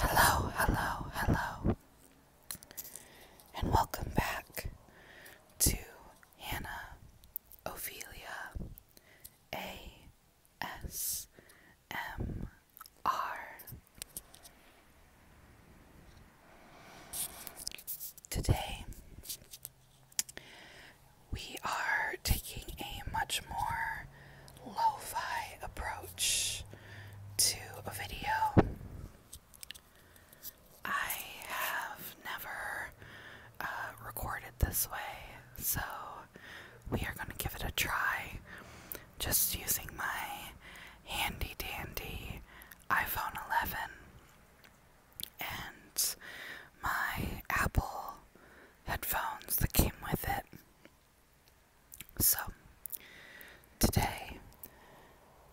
Hello, hello, hello, and welcome back to Hannah Ophelia ASMR. Today we are taking a much more lo fi approach to a video. I have never uh, recorded this way, so we are going to give it a try just using my handy dandy iPhone 11 and my Apple headphones that came with it. So, today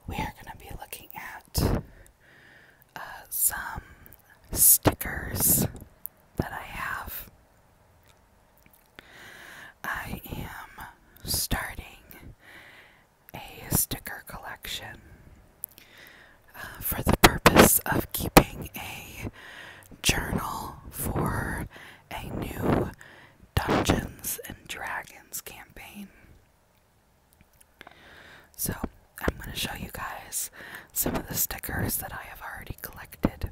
we are going to be looking at uh, some stickers that I have. I am starting a sticker collection. Uh, for the purpose of keeping a journal for a new Dungeons and Dragons campaign. So, I'm going to show you guys some of the stickers that I have already collected.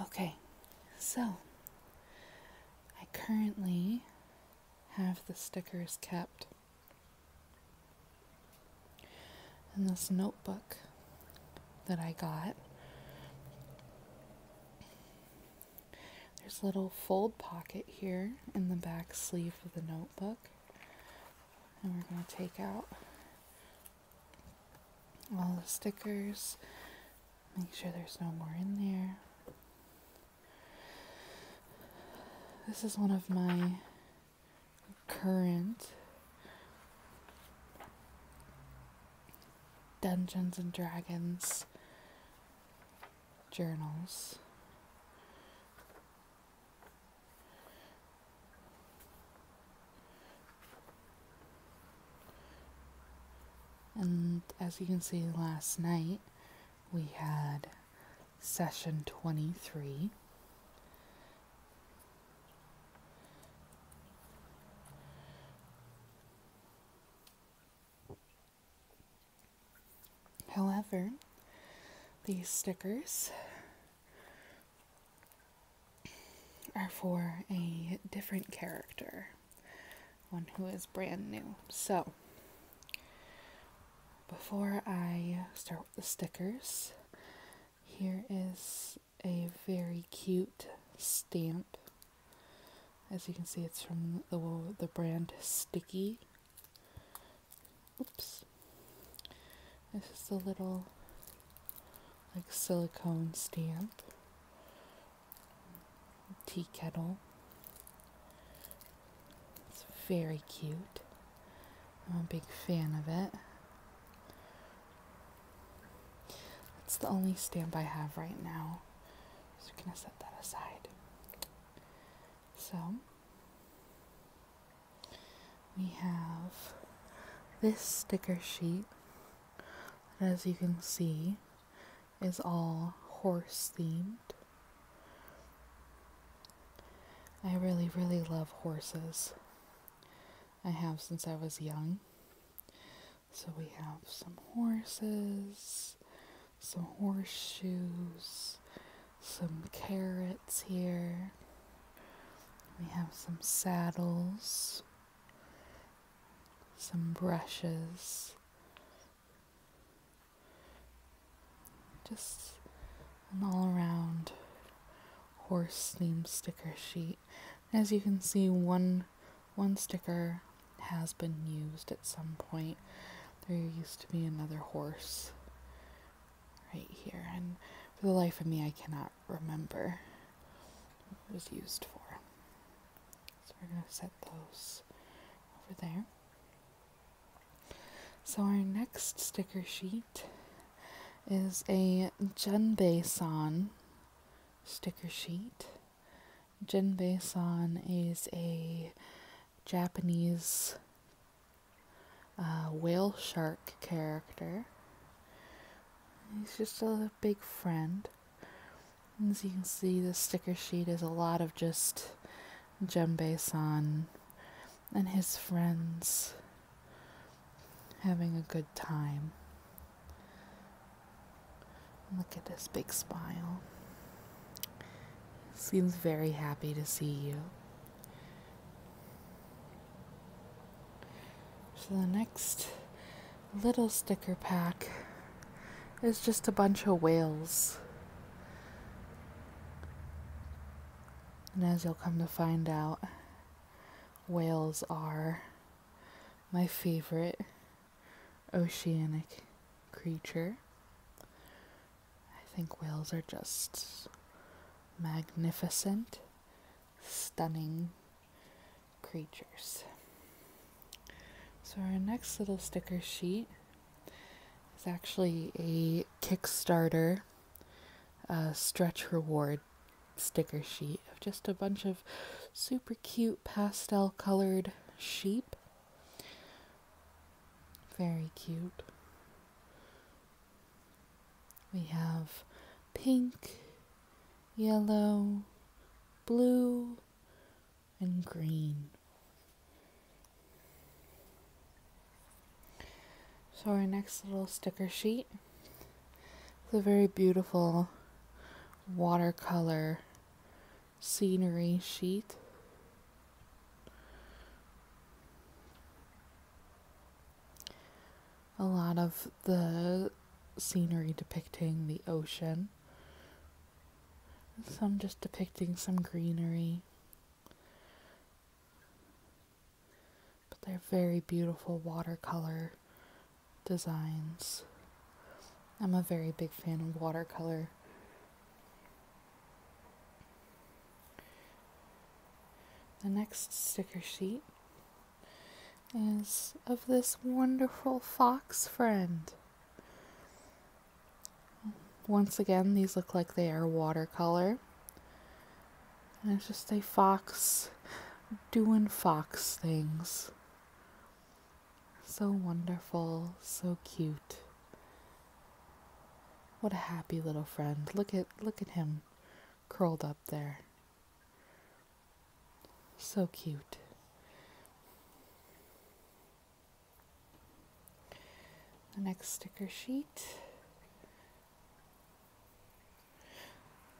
Okay, so I currently have the stickers kept in this notebook that I got there's a little fold pocket here in the back sleeve of the notebook. And we're going to take out all the stickers. Make sure there's no more in there. This is one of my current Dungeons and Dragons journals. And as you can see, last night we had session 23. However, these stickers are for a different character, one who is brand new. So, before I start with the stickers, here is a very cute stamp. As you can see, it's from the, the brand Sticky. Oops. This is a little, like, silicone stamp. Tea kettle. It's very cute. I'm a big fan of it. That's the only stamp I have right now. So we're gonna set that aside. So we have this sticker sheet as you can see is all horse themed. I really, really love horses. I have since I was young. So we have some horses, some horseshoes, some carrots here. We have some saddles, some brushes. Just an all around horse theme sticker sheet. As you can see, one one sticker has been used at some point. There used to be another horse right here, and for the life of me, I cannot remember what it was used for. So we're going to set those over there. So our next sticker sheet is a Jinbei sticker sheet. Jinbei is a Japanese uh, whale shark character. He's just a big friend. As you can see, the sticker sheet is a lot of just Jembe and his friends having a good time. Look at this big smile. Seems very happy to see you. So the next little sticker pack is just a bunch of whales. And as you'll come to find out, whales are my favorite oceanic creature. I think whales are just magnificent, stunning creatures. So, our next little sticker sheet is actually a Kickstarter a stretch reward sticker sheet of just a bunch of super cute pastel colored sheep. Very cute. We have pink, yellow, blue, and green. So our next little sticker sheet is a very beautiful watercolor scenery sheet. A lot of the scenery depicting the ocean. Some just depicting some greenery. But they're very beautiful watercolor designs. I'm a very big fan of watercolor. The next sticker sheet is of this wonderful fox friend. Once again, these look like they are watercolor. And it's just a fox doing fox things. So wonderful, so cute. What a happy little friend. Look at look at him curled up there. So cute. The next sticker sheet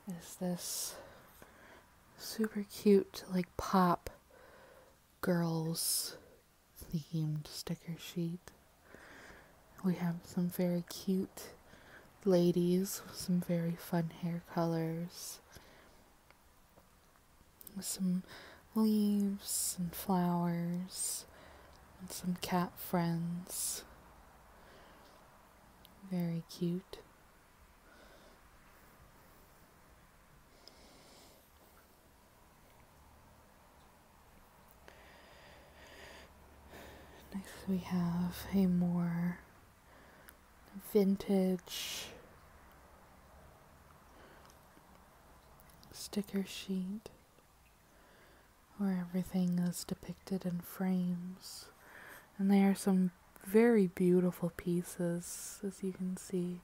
is this super cute, like pop girls themed sticker sheet. We have some very cute ladies with some very fun hair colors with some leaves and flowers and some cat friends. Very cute. Next we have a more vintage sticker sheet where everything is depicted in frames. And they are some very beautiful pieces, as you can see.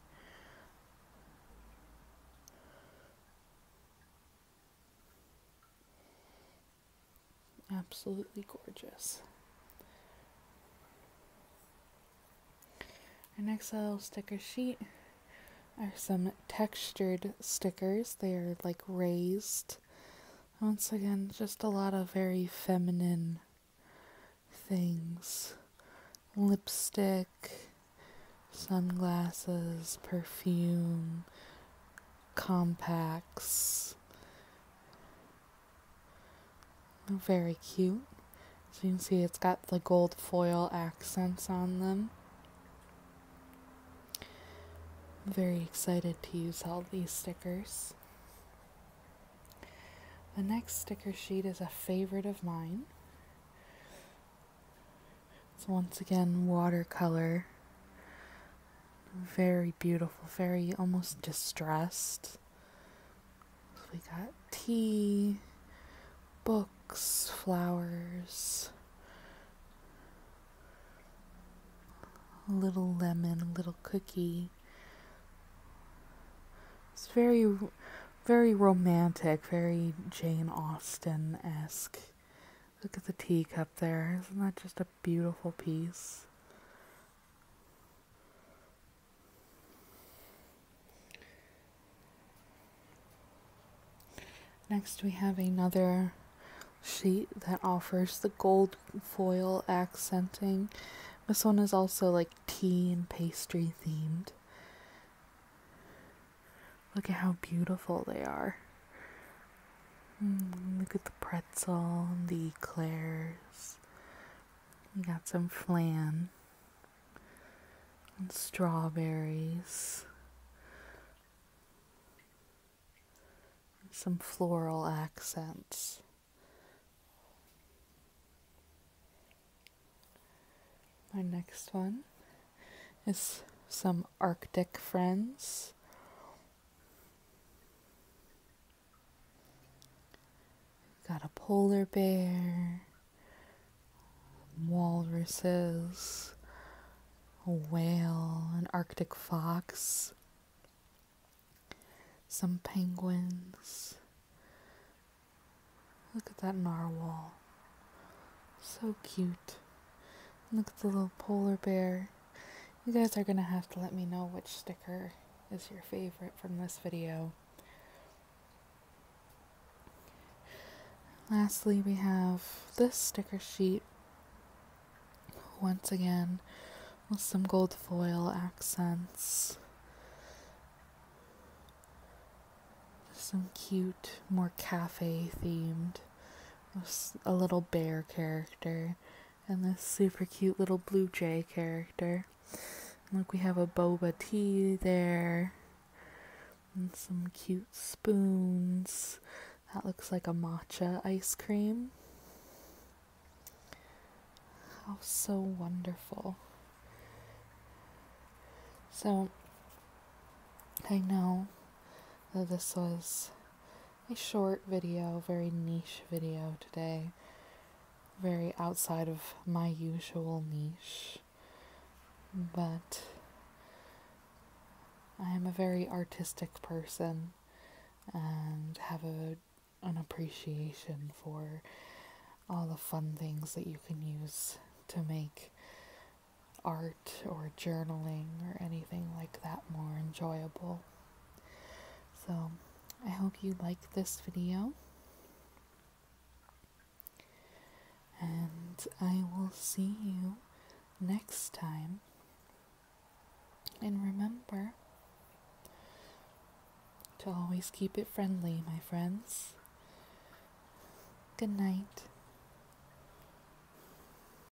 Absolutely gorgeous. Our next little sticker sheet are some textured stickers. They are like raised. Once again, just a lot of very feminine things. Lipstick, sunglasses, perfume, compacts, very cute. So you can see it's got the gold foil accents on them. I'm very excited to use all these stickers. The next sticker sheet is a favorite of mine. It's once again watercolor. Very beautiful, very almost distressed. So we got tea, books, flowers, a little lemon, a little cookie. It's very, very romantic, very Jane Austen esque. Look at the teacup there. Isn't that just a beautiful piece? Next, we have another sheet that offers the gold foil accenting. This one is also like tea and pastry themed. Look at how beautiful they are. Hmm, look at the pretzel the eclairs. We got some flan and strawberries. Some floral accents. My next one is some Arctic friends. We've got a polar bear, walruses, a whale, an arctic fox, some penguins. Look at that narwhal. So cute. Look at the little polar bear. You guys are going to have to let me know which sticker is your favorite from this video. Lastly, we have this sticker sheet. Once again, with some gold foil accents. Some cute, more cafe themed, a little bear character, and this super cute little blue jay character. look, we have a boba tea there, and some cute spoons. That looks like a matcha ice cream. How so wonderful. So, I know that this was a short video, very niche video today, very outside of my usual niche. But I am a very artistic person and have a, an appreciation for all the fun things that you can use to make art or journaling or anything like that more enjoyable. So I hope you like this video. And I will see you next time. And remember to always keep it friendly, my friends. Good night.